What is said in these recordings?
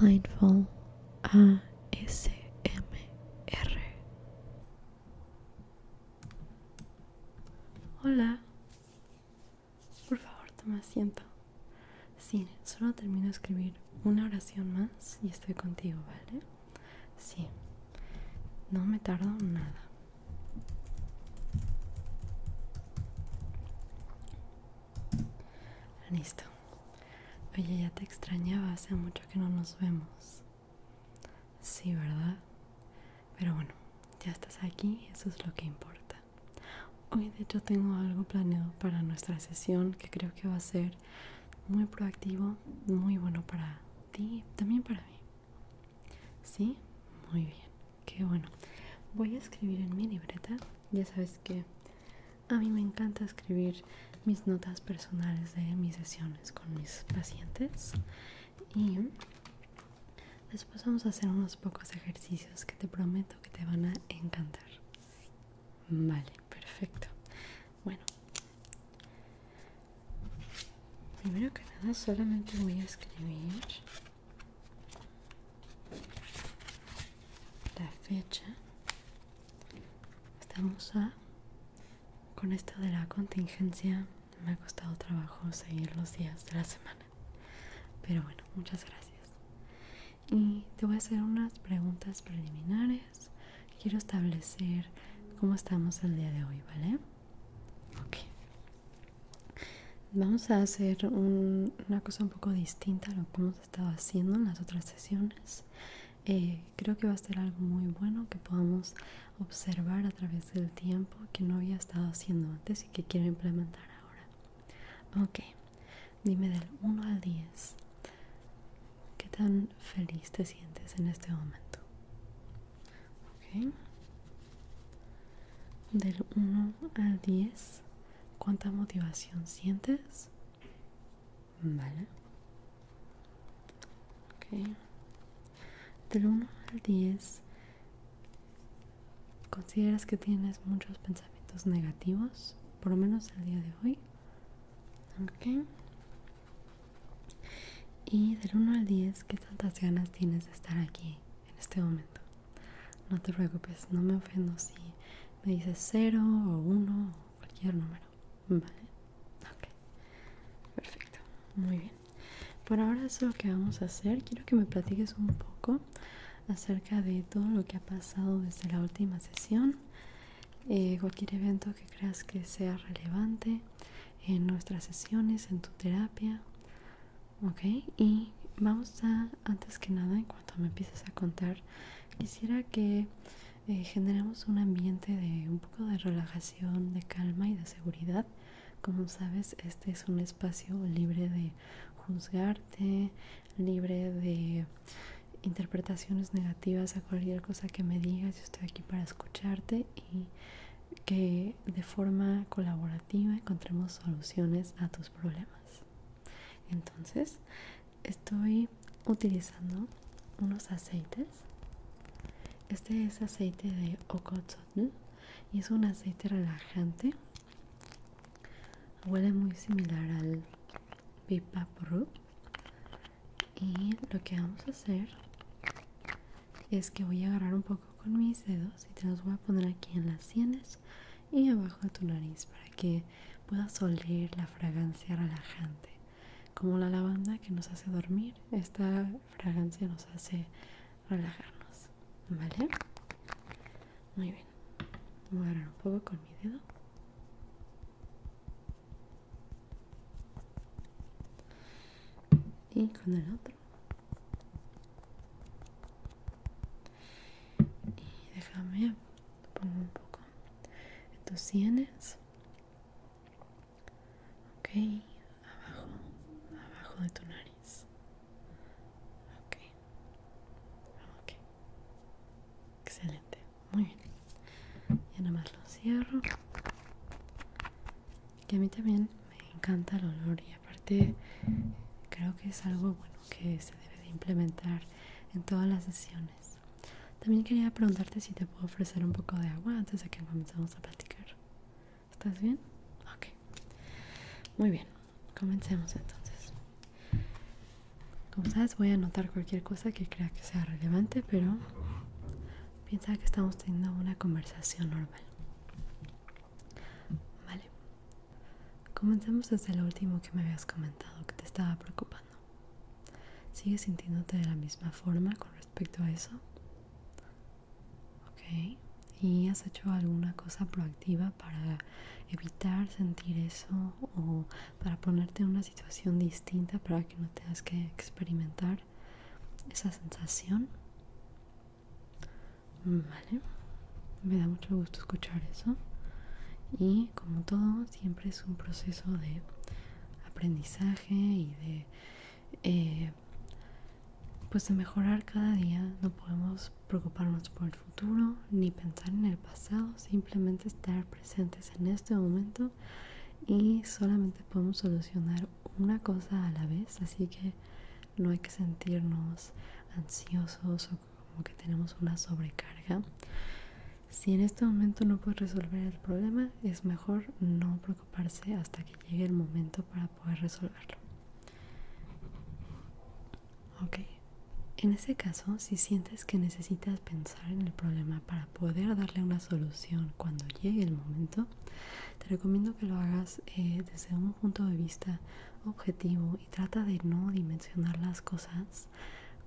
Mindful ASMR. Hola. Por favor, toma asiento. Sí, solo termino de escribir una oración más y estoy contigo, ¿vale? Sí. No me tardo nada. Listo. Oye, ya te extrañaba, hace mucho que no nos vemos. Sí, ¿verdad? Pero bueno, ya estás aquí, eso es lo que importa. Hoy de hecho tengo algo planeado para nuestra sesión que creo que va a ser muy proactivo, muy bueno para ti, también para mí. ¿Sí? Muy bien, qué bueno. Voy a escribir en mi libreta ya sabes que a mí me encanta escribir mis notas personales de mis sesiones con mis pacientes y después vamos a hacer unos pocos ejercicios que te prometo que te van a encantar. Vale, perfecto. Bueno, primero que nada solamente voy a escribir la fecha estamos a con esto de la contingencia me ha costado trabajo seguir los días de la semana pero bueno muchas gracias y te voy a hacer unas preguntas preliminares quiero establecer cómo estamos el día de hoy vale ok Vamos a hacer una cosa un poco distinta a lo que hemos estado haciendo en las otras sesiones. Eh, creo que va a ser algo muy bueno que podamos observar a través del tiempo que no había estado haciendo antes y que quiero implementar ahora. Ok, dime del 1 al 10, ¿qué tan feliz te sientes en este momento? Ok, del 1 al 10 ¿Cuánta motivación sientes? Vale. Ok Del 1 al 10, ¿consideras que tienes muchos pensamientos negativos? Por lo menos el día de hoy. Ok. Y del 1 al 10, ¿qué tantas ganas tienes de estar aquí en este momento. No te preocupes, no me ofendo si me dices 0 o 1 o cualquier número. Vale, ok, perfecto, muy bien. Por ahora eso es lo que vamos a hacer. Quiero que me platiques un poco acerca de todo lo que ha pasado desde la última sesión. Eh, cualquier evento que creas que sea relevante en nuestras sesiones, en tu terapia. Ok, y vamos a, antes que nada, en cuanto me empieces a contar, quisiera que eh, generemos un ambiente de un poco de relajación, de calma y de seguridad. Como sabes, este es un espacio libre de juzgarte, libre de interpretaciones negativas a cualquier cosa que me digas. Yo estoy aquí para escucharte y que de forma colaborativa encontremos soluciones a tus problemas. Entonces, estoy utilizando unos aceites. Este es aceite de Okotsotn y es un aceite relajante. Huele muy similar al Bipapuru. Y lo que vamos a hacer es que voy a agarrar un poco con mis dedos y te los voy a poner aquí en las sienes y abajo de tu nariz para que puedas oler la fragancia relajante. Como la lavanda que nos hace dormir, esta fragancia nos hace relajarnos. ¿Vale? Muy bien. Voy a agarrar un poco con mi dedo y con el otro y déjame pongo un poco en tus sienes ok abajo abajo de tu nariz ok ok excelente muy bien y nada más lo cierro que a mí también me encanta el olor y aparte creo que es algo bueno que se debe de implementar en todas las sesiones. También quería preguntarte si te puedo ofrecer un poco de agua antes de que comencemos a platicar. ¿Estás bien? Ok. Muy bien, comencemos entonces. Como sabes, voy a anotar cualquier cosa que crea que sea relevante, pero piensa que estamos teniendo una conversación normal. Vale, comencemos desde lo último que me habías comentado, que te estaba preocupando. ¿Sigues sintiéndote de la misma forma con respecto a eso? Ok, ¿y has hecho alguna cosa proactiva para evitar sentir eso o para ponerte en una situación distinta para que no tengas que experimentar esa sensación? Vale, me da mucho gusto escuchar eso. Y como todo, siempre es un proceso de aprendizaje y de eh, pues de mejorar cada día. No podemos preocuparnos por el futuro ni pensar en el pasado, simplemente estar presentes en este momento y solamente podemos solucionar una cosa a la vez. Así que no hay que sentirnos ansiosos o como que tenemos una sobrecarga. Si en este momento no puedes resolver el problema, es mejor no preocuparse hasta que llegue el momento para poder resolverlo. Ok, en ese caso, si sientes que necesitas pensar en el problema para poder darle una solución cuando llegue el momento, te recomiendo que lo hagas eh, desde un punto de vista objetivo y trata de no dimensionar las cosas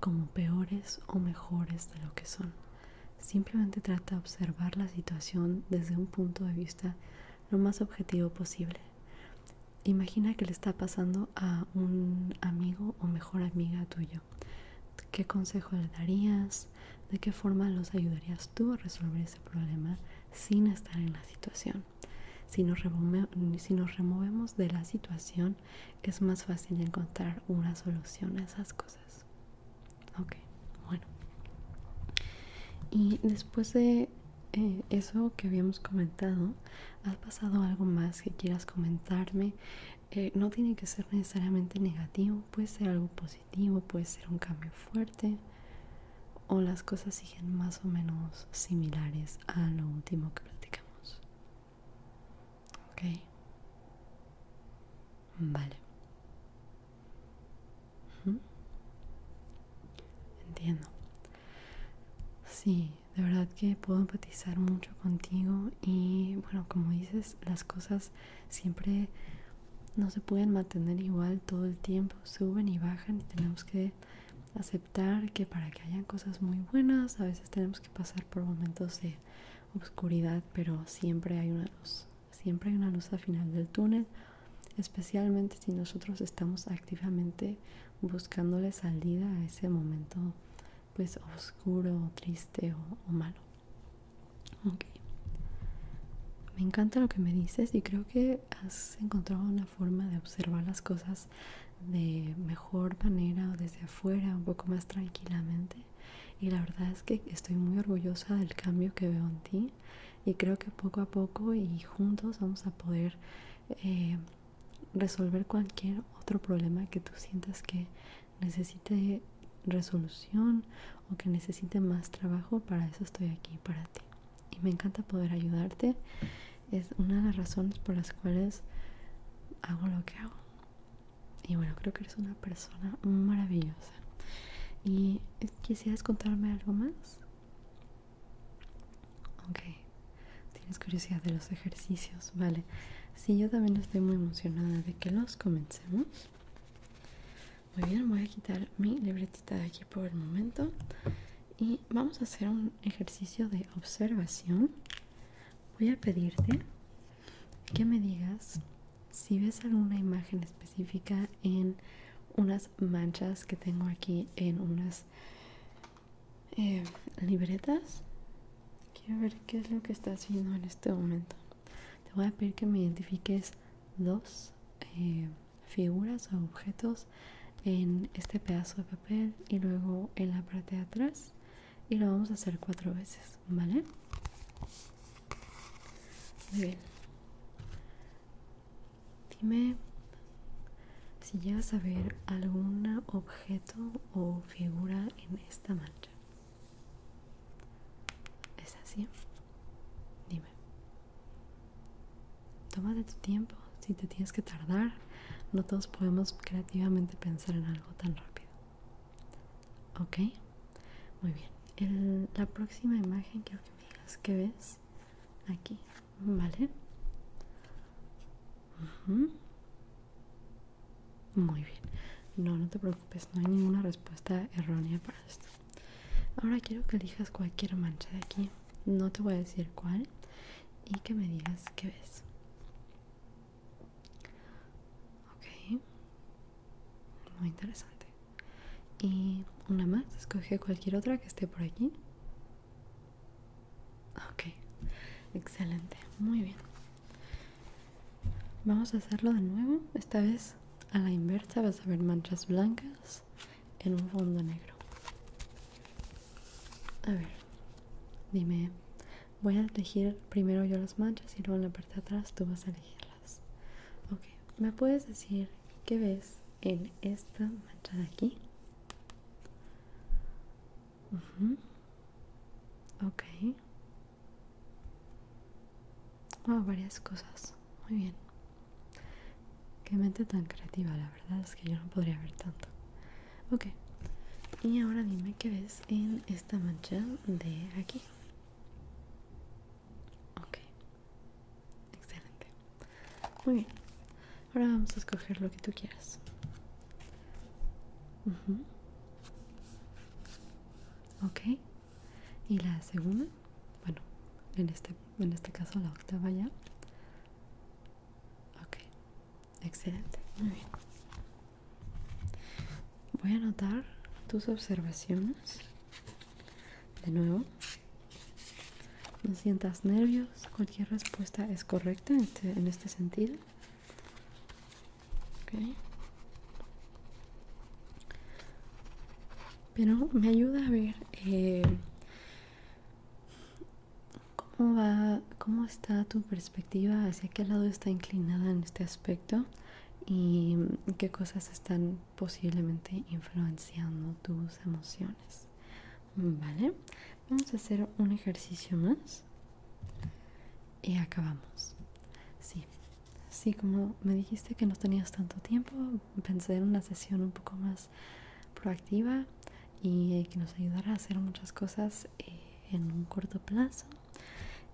como peores o mejores de lo que son. Simplemente trata de observar la situación desde un punto de vista lo más objetivo posible. Imagina que le está pasando a un amigo o mejor amiga tuyo. ¿Qué consejo le darías? de qué forma los ayudarías tú a resolver ese problema sin estar en la situación. Si nos, si nos removemos de la situación, es más fácil encontrar una solución a esas cosas. Ok, bueno. Y después de eh, eso que habíamos comentado, ¿has pasado algo más que quieras comentarme? Eh, no tiene que ser necesariamente negativo, puede ser algo positivo puede ser un cambio fuerte o las cosas siguen más o menos similares a lo último que platicamos. Ok. Vale. Entiendo. Sí, de verdad que puedo empatizar mucho contigo y bueno, como dices, las cosas siempre no se pueden mantener igual todo el tiempo, suben y bajan y tenemos que aceptar que para que hayan cosas muy buenas a veces tenemos que pasar por momentos de oscuridad, pero siempre hay una luz, siempre hay una luz al final del túnel, especialmente si nosotros estamos activamente buscándole salida a ese momento pues oscuro, triste o malo. Me encanta lo que me dices y creo que has encontrado una forma de observar las cosas de mejor manera o desde afuera, un poco más tranquilamente. Y la verdad es que estoy muy orgullosa del cambio que veo en ti y creo que poco a poco y juntos vamos a poder eh, resolver cualquier otro problema que tú sientas que necesite resolución o que necesite más trabajo, para eso estoy aquí, para ti. Y me encanta poder ayudarte. Es una de las razones por las cuales hago lo que hago. Y bueno, creo que eres una persona maravillosa. ¿Y quisieras contarme algo más? Ok, tienes curiosidad de los ejercicios, vale. Sí, yo también estoy muy emocionada de que los comencemos. Muy bien, voy a quitar mi libretita de aquí por el momento y vamos a hacer un ejercicio de observación. Voy a pedirte que me digas si ves alguna imagen específica en unas manchas que tengo aquí en unas eh, libretas. Quiero ver qué es lo que estás viendo en este momento. Te voy a pedir que me identifiques dos eh, figuras o objetos en este pedazo de papel y luego en la parte de atrás y lo vamos a hacer cuatro veces, ¿vale? Muy bien. Dime si llegas a ver algún objeto o figura en esta mancha. ¿Es así? Dime. Tómate tu tiempo. Si te tienes que tardar, no todos podemos creativamente pensar en algo tan rápido. ¿Ok? Muy bien. la próxima imagen quiero que me digas qué ves aquí. ¿Vale? Muy bien, no, no te preocupes, no hay ninguna respuesta errónea para esto. Ahora quiero que elijas cualquier mancha de aquí, no te voy a decir cuál, y que me digas qué ves. Ok, muy interesante. Y una más, escoge cualquier otra que esté por aquí. Ok, excelente, muy bien. Vamos a hacerlo de nuevo, esta vez a la inversa vas a ver manchas blancas en un fondo negro. A ver, dime, voy a elegir primero yo las manchas y luego en la parte de atrás tú vas a elegirlas. Ok, ¿me puedes decir qué ves en esta mancha de aquí? mhm okay Ok. Ah, varias cosas. Muy bien. Qué mente tan creativa, la verdad es que yo no podría ver tanto. Ok. Y ahora dime qué ves en esta mancha de aquí. Ok. Excelente. Muy bien. Ahora vamos a escoger lo que tú quieras. Ok. Y la segunda, bueno, este, en este, caso la octava ya. Ok. Excelente. Muy bien. Voy a anotar tus observaciones. De nuevo. No sientas nervios, cualquier respuesta es correcta en este, este sentido pero me ayuda a ver eh, cómo va cómo está tu perspectiva hacia qué lado está inclinada en este aspecto y qué cosas están posiblemente influenciando tus emociones vale vamos a hacer un ejercicio más y acabamos. Sí, así como me dijiste que no tenías tanto tiempo, pensé en una sesión un poco más proactiva y que nos ayudara a hacer muchas cosas eh, en un corto plazo.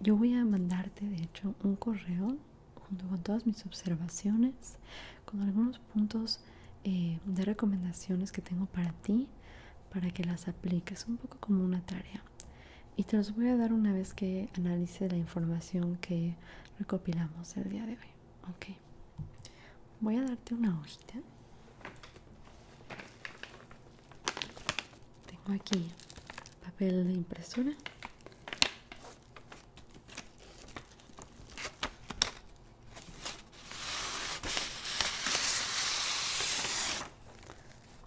Yo voy a mandarte, de hecho, un correo junto con todas mis observaciones, con algunos puntos eh, de recomendaciones que tengo para ti, para que las apliques un poco como una tarea y te los voy a dar una vez que analice la información que recopilamos el día de hoy ok voy a darte una hojita tengo aquí papel de impresora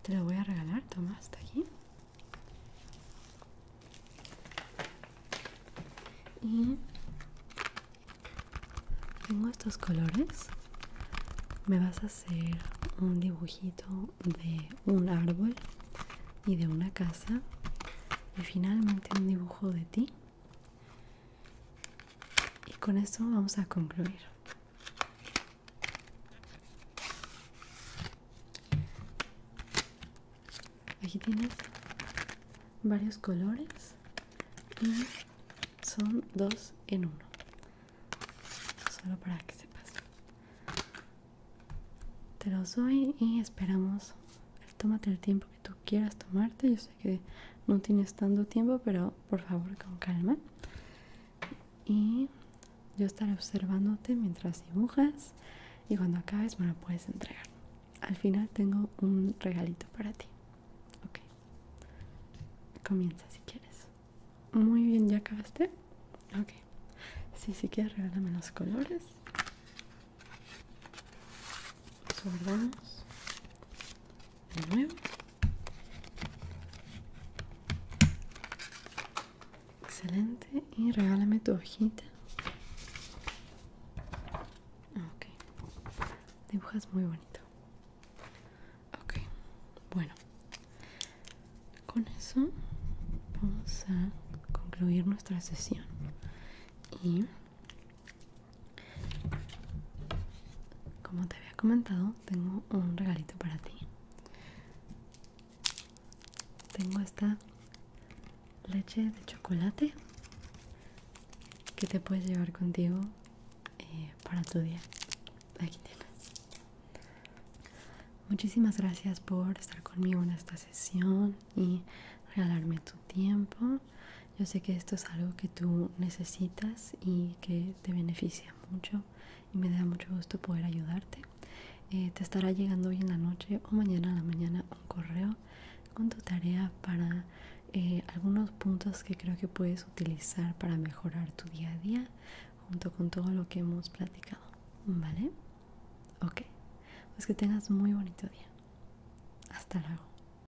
te lo voy a regalar, toma, está aquí. Y tengo estos colores. Me vas a hacer un dibujito de un árbol y de una casa. Y finalmente un dibujo de ti. Y con esto vamos a concluir. Aquí tienes varios colores y son dos en uno. Solo para que sepas. Te los doy y esperamos. Tómate el tiempo que tú quieras tomarte. Yo sé que no tienes tanto tiempo, pero por favor, con calma. Y yo estaré observándote mientras dibujas y cuando acabes me lo puedes entregar. Al final tengo un regalito para ti. Ok. Comienza si quieres. Muy bien, ¿ya acabaste? Ok. si si quieres regálame los colores de nuevo excelente y regálame tu hojita ok dibujas muy bonito ok bueno con eso vamos a concluir nuestra sesión y como te había comentado, tengo un regalito para ti. Tengo esta leche de chocolate que te puedes llevar contigo eh, para tu día. Aquí tienes. Muchísimas gracias por estar conmigo en esta sesión y regalarme tu tiempo. Yo sé que esto es algo que tú necesitas y que te beneficia mucho y me da mucho gusto poder ayudarte. Eh, te estará llegando hoy en la noche o mañana en la mañana un correo con tu tarea para eh, algunos puntos que creo que puedes utilizar para mejorar tu día a día junto con todo lo que hemos platicado. ¿Vale? Ok. Pues que tengas muy bonito día. Hasta luego.